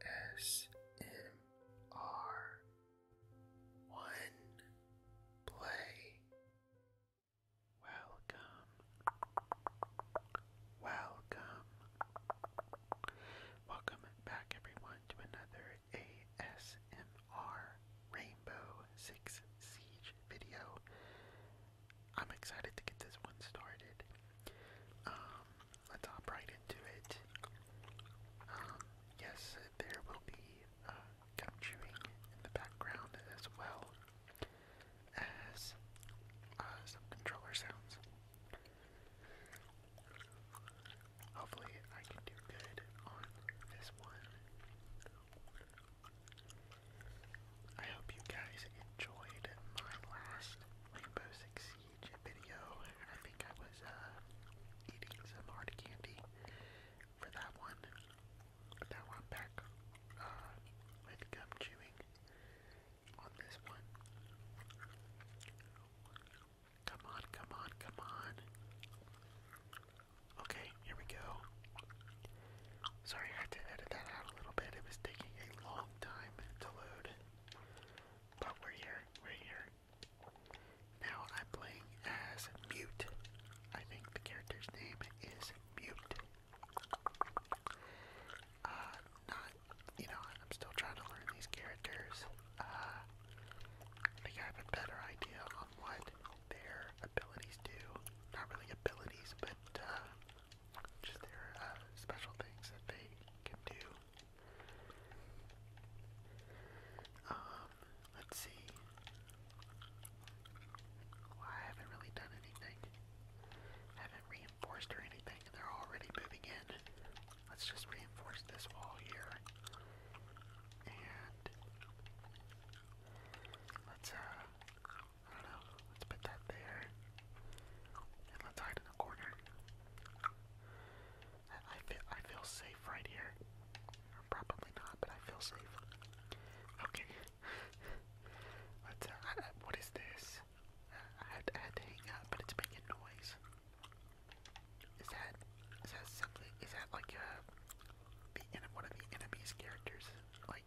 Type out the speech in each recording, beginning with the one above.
ASMR One Play Welcome Welcome Welcome back everyone to another ASMR Rainbow Six Siege video. I'm excited to get this one started. Um, let's hop right into it. Um, yes, there will be uh, gum chewing in the background as well as uh, some controller sounds. Hopefully, I can do good on this one. I hope you guys enjoyed my last Rainbow Six video, and I think I was uh, eating some hard candy for that one. But now back uh, gum chewing on this one. Come on, come on, come on. Okay, here we go. Sorry, I had to edit that out a little bit. It was taking a long time to load. But we're here, we're here. Now I'm playing as Mute. I think the character's name is Mute. Uh, not, you know, I'm still trying to learn these characters. Uh, I think I have a better idea on what their abilities do. Not really abilities, but, uh, just their uh, special things that they can do. Um, let's see. I haven't really done anything. haven't reinforced or anything, and they're already moving in. Let's just reinforce this wall here. And let's uh Let's put that there. And let's hide in the corner. I, feel I feel safe right here. probably not, but I feel safe. Okay. Uh, what is this? I had, to hang up, but it's making noise. Is that is that something? Is that like a uh, one of the enemy's characters like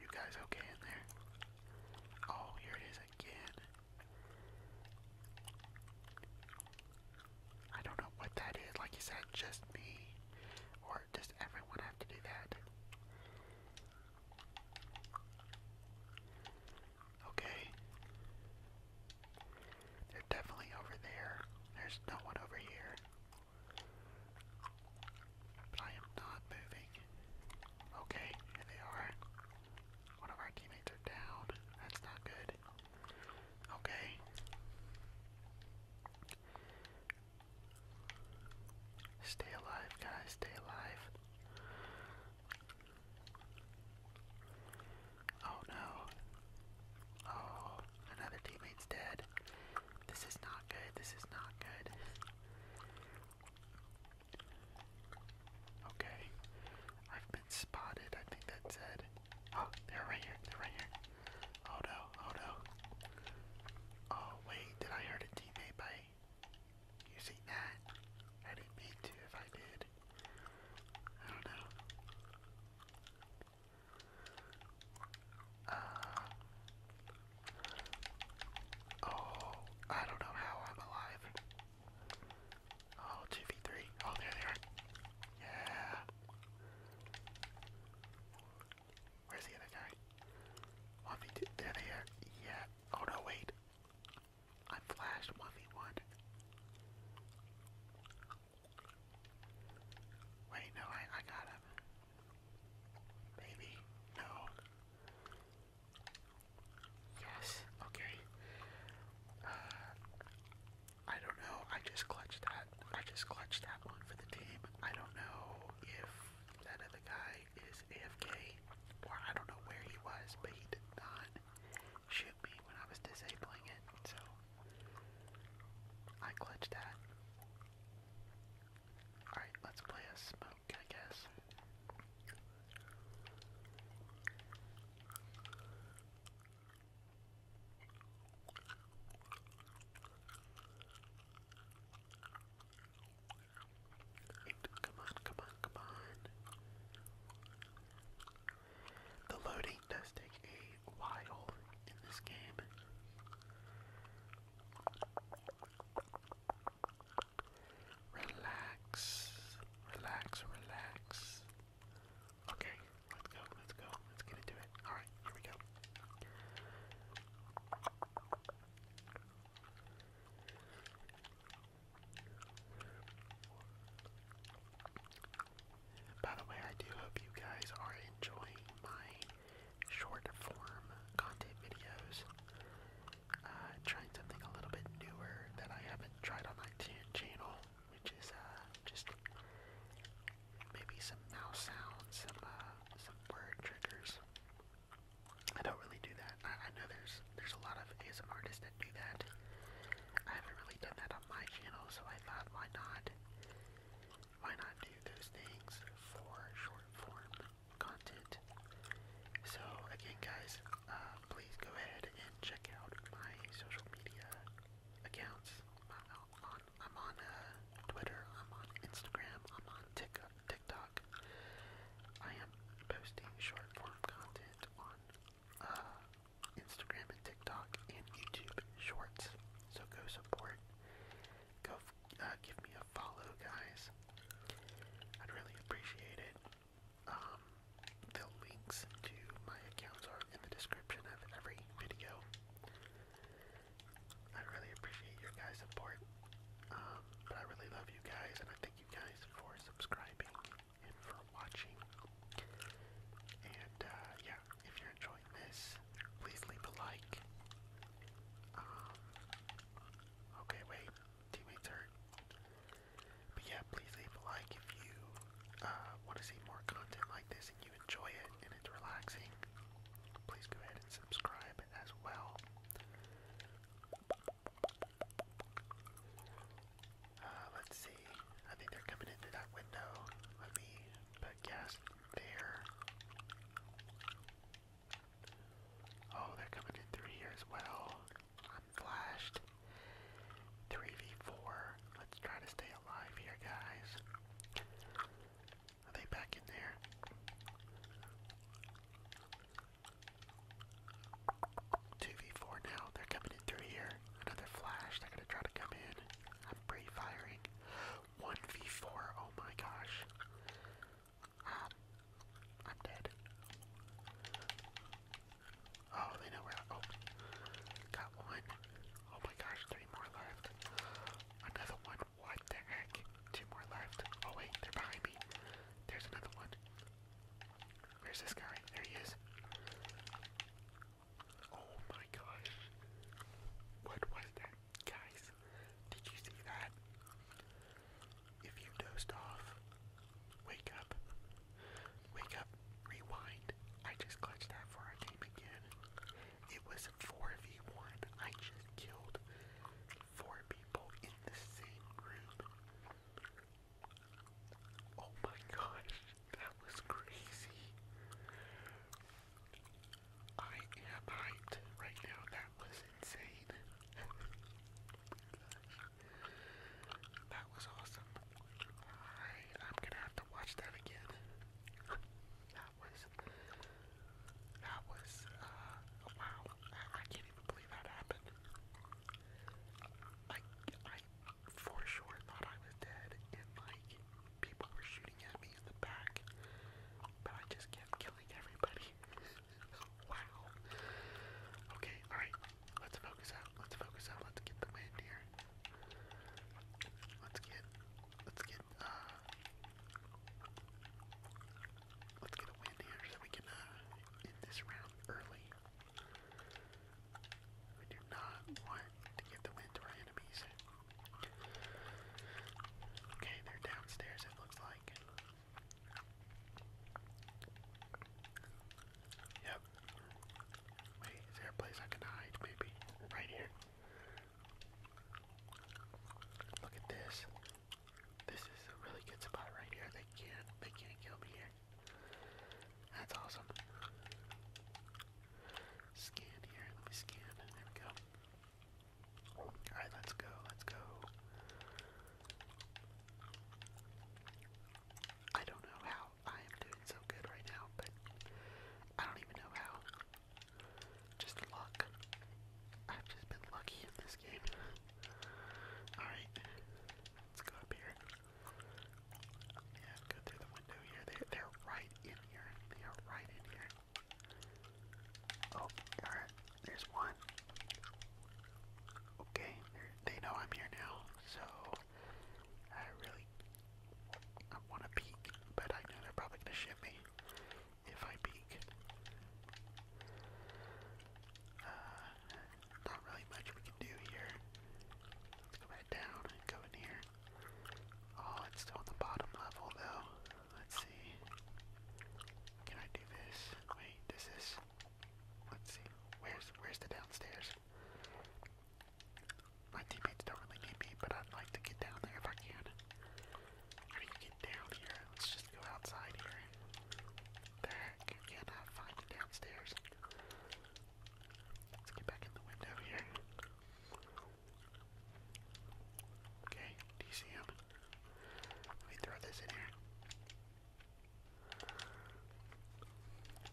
You guys okay in there? Oh, here it is again. I don't know what that is. Like you said, just me. Or does everyone have to do that? Okay. They're definitely over there. There's no one over here. But I am not moving. Okay, here they are. One of our teammates are down. That's not good. Okay. Stay alive, guys. Stay alive. Oh no. Oh, Another teammate's dead. This is not good. This is not good. Okay. I've been spotted. I think that's it. Oh, they're right here. They're right here. Oh no. Oh no. Oh wait, did I hurt a teammate by using that? I didn't mean to if I did. I don't know. Uh, oh, I don't know how I'm alive. Oh, v 3 Oh, there they are. Yeah. Where's the other guy? 1v2. There they are. Yeah. Oh, no, wait. I flashed 1v1. Wait, no, I, I got him. Maybe. No. Yes, okay. Uh, I don't know. I just clutched that. I just clutched that one for the team. I don't know if that other guy is AFK or I don't know where he was, but he did not shoot me when I was disabling it. So I glitched that. Alright, let's play a smoke, I guess. Come on, come on, come on. The loading does take a wide in this game. Relax, relax, relax. Okay, let's go, let's go, let's get into it. Alright, here we go. By the way, I do hope you guys are enjoying my short form content videos. Uh, trying something a little bit newer that I haven't tried on my channel, which is uh, just maybe some mouse sounds, some uh, some word triggers. I don't really do that. I, know there's there's a lot of ASMR artists that do that. I haven't really done that on my channel, so I thought why not why not do those things for short form content? So again, guys, uh, please go ahead and check out my social media accounts. I'm on, I'm on uh, Twitter. I'm on Instagram. I'm on TikTok. TikTok. I am posting short form content on uh, Instagram and TikTok and YouTube Shorts. So go support. Go uh, give me a follow, guys. I'd really appreciate it. Um, the links to my accounts are in the description of every video. I really appreciate your guys' support. Um, but I really love you guys, and I thank you guys for subscribing and for watching. And uh, yeah, if you're enjoying enjoying this, please leave a like. Um, okay, wait, teammates hurt. But yeah, please leave a like if you uh, want to see more content like this and you enjoy it and it's relaxing. Please go ahead and subscribe as well. Uh, let's see. I think they're coming into that window. Let me but guess there. Oh, they're coming in through here as well. I'm flashed. 3v4. Let's try to stay alive here, guys. Are they back in there? Two v four now. They're coming in through here. Another flash. They're gonna try to come in. I'm pre-firing. 1v4, oh my gosh. Um, I'm dead. Oh, they know where I, oh, got one. Oh my gosh, three more left. Another one, what the heck? Two more left. Oh wait, they're behind me. There's another one. Where's this guy? There he is. Oh my gosh. What was that? Guys, did you see that? If you dozed off, wake up. Wake up, rewind. I just clutched that for our game again. It was 4v1. I just killed four people in the same room. Oh my gosh. That was crazy. I am hyped right now. That was insane. that was awesome. I, am gonna have to watch that again. that was. That was. Uh, wow. I, can't even believe that happened. I. I for sure thought I was dead, and like people were shooting at me in the back, but I just kept killing everybody. wow. Okay, alright, let's focus out, let's focus out, let's get the wind here. Let's get, let's get, uh, let's get a win here so we can, uh, end this round early. We do not want to give the win to our enemies. Okay, they're downstairs, it looks like. Yep. Wait, is there a place I can hide? Maybe. Right here. Look at this. This is a really good spot right here. They can't they can't kill me here. That's awesome. Scan here. Let me scan. There we go. Alright, let's go. Let's go. I don't know how I am doing so good right now, but I don't even know how. Just luck. I've just been lucky in this game. Alright, let's go up here. Yeah, go through the window here. They're, they're right in here. They are right in here. Oh, alright. There's one. Okay, they know I'm here now, so I really I want to peek, but I know they're probably going to ship if I peek. Uh, not really much we can do here. Let's go back down and go in here. Oh, it's still on the bottom level though. Let's see. Can I do this? Wait, does this? Let's see. Where's where's the downstairs? My teammates don't really need me, but I'd like to get down there if I can. How do you get down here? Let's just go outside here. There, you cannot find the downstairs. Let's get back in the window here. Okay, do Let me throw this in here.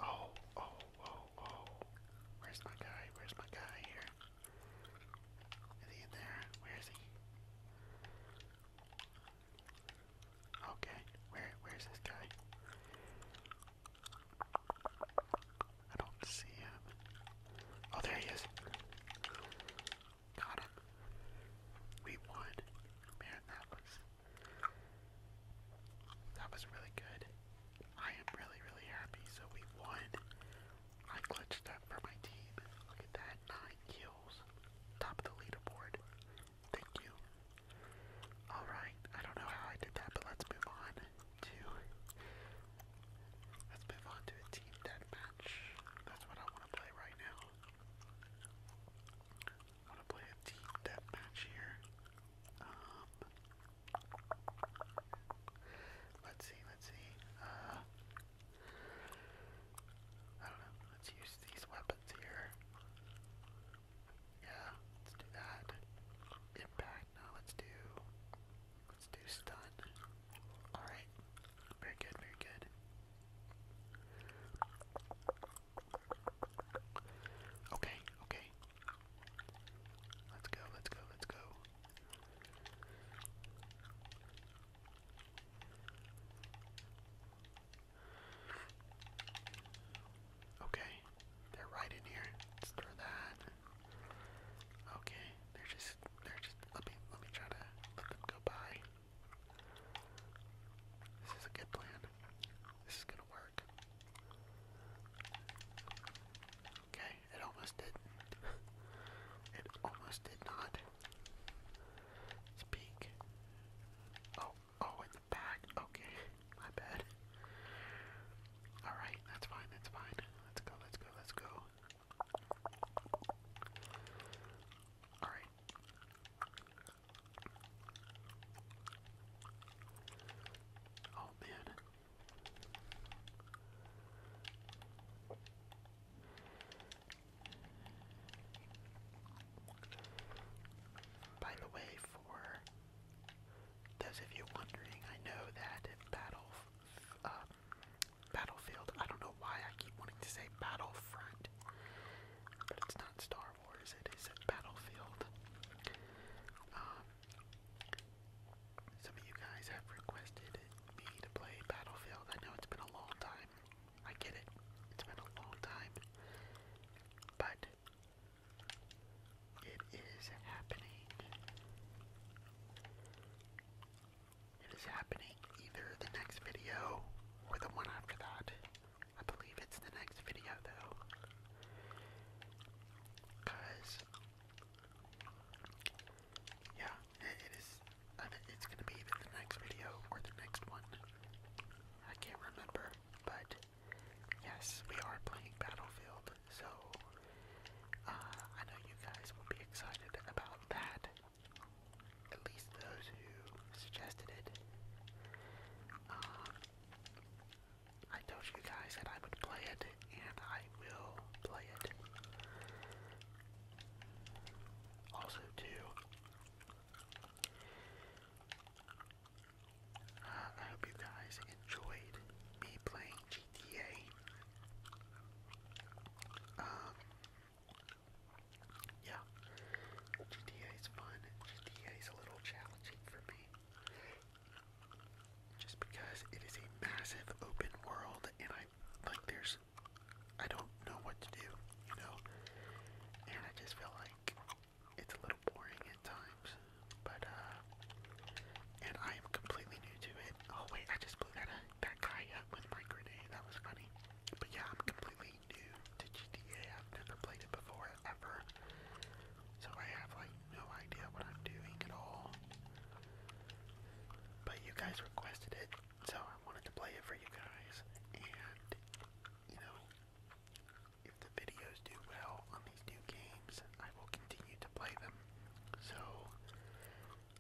Oh, oh, oh, oh. Where's my guy? Where's my guy here? Is he in there? Where is he? Okay, where where's this guy? I don't see him. Oh, there he is. Got him. We won. Man, that was. That was really good. I am really, really happy. So we won. I glitched up for my team. Look at that. Nine kills. Top of the leaderboard. Thank you. Alright, I don't know how I did that, but let's move on to let's move on to a team deathmatch. That's what I wanna play right now. I wanna play a team deathmatch here. Um, let's see, let's see. Uh, I don't know, let's use these weapons here. Yeah, let's do that. Impact, now let's do, let's do stun. Alright, very good, very good. Okay, okay. Let's go, let's go, let's go. Okay, they're right in here. Let's throw that. Okay, they're just they're just let me let me try to let them go by. This is a good plan. This is gonna work. Okay, it almost did it almost did not. Speak. Oh, oh, and back. Okay, my bad. Alright, that's fine, that's fine. Let's go, let's go, let's go. Alright. Oh man. By the way, for those of you wondering, I know that Battle, um, Battlefield, I don't know why I keep wanting to say Battlefront, but it's not Star Wars, it is Battlefield. Um, some of you guys have requested me to play Battlefield. I know it's been a long time. I get it. It's been a long time. But it is happening. It is happening either the next video or the one after that. I believe it's the next video though. Cause yeah, it is. It's gonna be the next video or the next one. I can't remember, but Yes, we are playing Battlefield, so uh, I know you guys will be excited about that. At least those who suggested it. Uh, I told you guys that I would play it, and I will play it. Also, too, I hope you guys enjoyed me playing GTA. Um, yeah, GTA is fun. GTA is a little challenging for me, just because it is a massive open world, and I like there's, I don't know what to do, you know, and I just feel like it's a little boring at times, but uh, and I am completely new to it. Oh wait, I just blew that uh, that guy up with my grenade. That was funny. But yeah, I'm completely new to GTA. I've never played it before ever, so I have like no idea what I'm doing at all. But you guys requested it, so I wanted to play it for you guys, and you know, if the videos do well on these new games, I will continue to play them. So,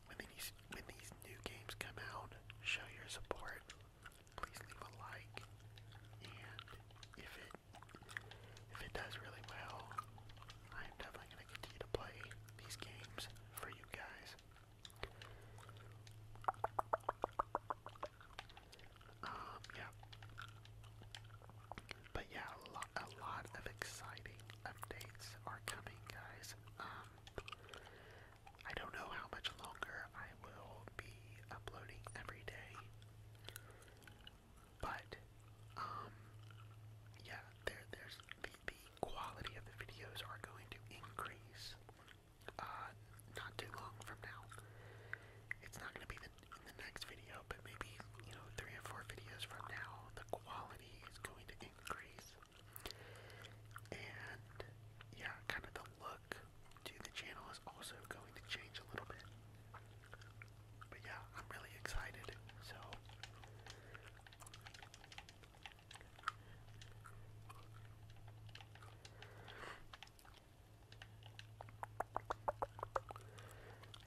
when these, when these new games come out, show your support. Please leave a like, and if it if it does really well, I am definitely going to continue to play these games for you guys. Um, yeah. But yeah, a lot, a lot of exciting updates are coming, guys. Um, I don't know how much longer I will be uploading every day, but um, yeah, there, there's the, the quality of the videos are going to increase uh, not too long from now. It's not going to be in the next video, but maybe, you know, three or four videos from now, the quality is going to increase. And, yeah, kind of the look to the channel is also going to change a little bit. But yeah, I'm really excited, so...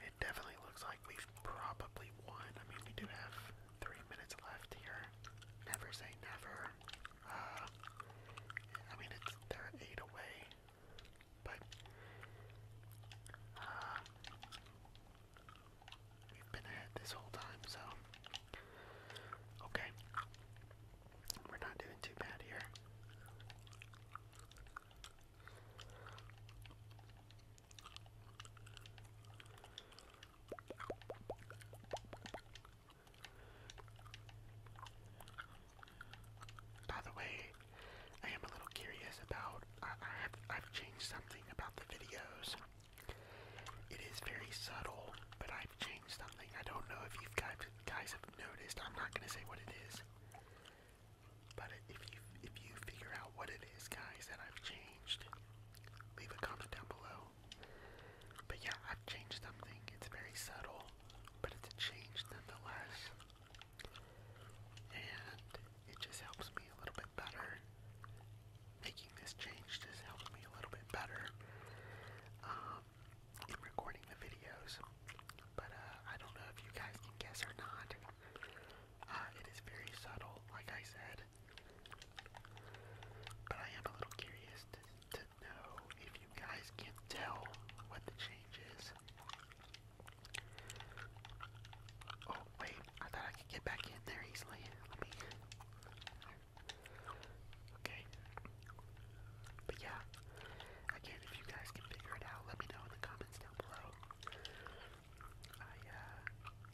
It definitely looks like we've probably won. I mean, we do have three minutes left here. Never say never. Uh, I mean, it's they eight away, but uh, we've been ahead this whole time, so okay. We're not doing too bad here. By the way, I am a little curious about. I, have changed something about the videos. It is very subtle, but I I've changed something. I don't know if you guys guys have noticed. I'm not gonna say what it is. But if you if you figure out what it is, guys, that I've changed, leave a comment down below. But yeah, I've changed something. It's very subtle, but it's a nonetheless. And it just helps me a little bit better. Making this change just helps me a little bit better. Um, recording the videos, but uh, I don't know if you guys can guess or not. Uh, it is very subtle, like I said, but I am a little curious to, know if you guys can tell what the change is. Oh wait, I thought I could get back in there easily. Let me. Okay. But yeah, again, if you guys can figure it out, let me know in the comments down below. Uh,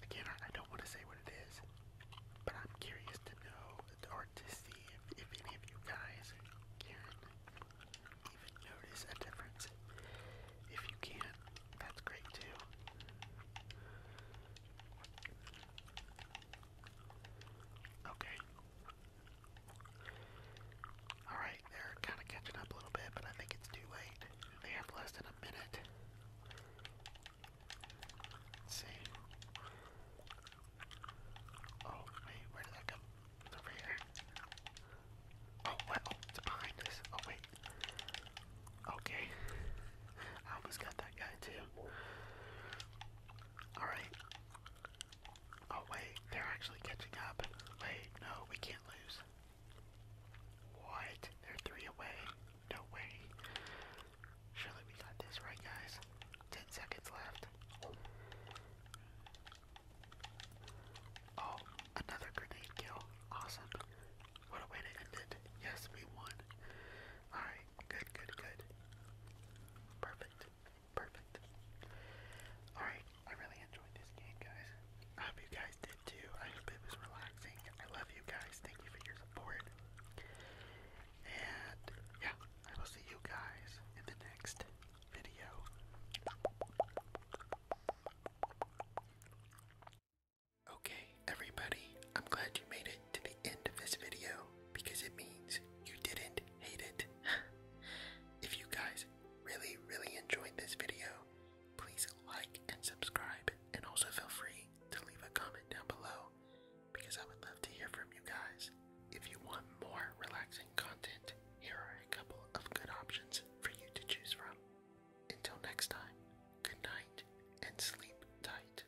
again, I, don't want to say what it is, but I'm curious to know or to see if any of you guys can even notice a difference. If you can, that's great too. Okay, Alright, they're kind of catching up a little bit, but I think it's too late. They have less than a minute. see. Oh, wait, where did that come? It's over here. Oh, Oh, it's behind us. Oh, wait. Okay. I almost got that guy, too. Alright. Oh, wait, they're actually catching up. Wait, no, we can't lose. What? They're three away. No way. Surely we got this right, guys. Ten seconds left. Oh, another grenade kill. Awesome. What a way to end it. Yes, we won. Alright good, good, good. Perfect, perfect. Alright, I really enjoyed this game, guys. I hope you guys did too. I hope it was relaxing. I love you guys. Thank you for your support. And yeah, I will see you guys in the next video. Okay, everybody, I'm glad you made it to the end of this video because it means you didn't hate it. if you guys really, really enjoyed this video, please like and subscribe, and also feel free to leave a comment down below because I would love to hear from you guys. If you want more relaxing content, here are a couple of good options for you to choose from. Until next time, good night and sleep tight.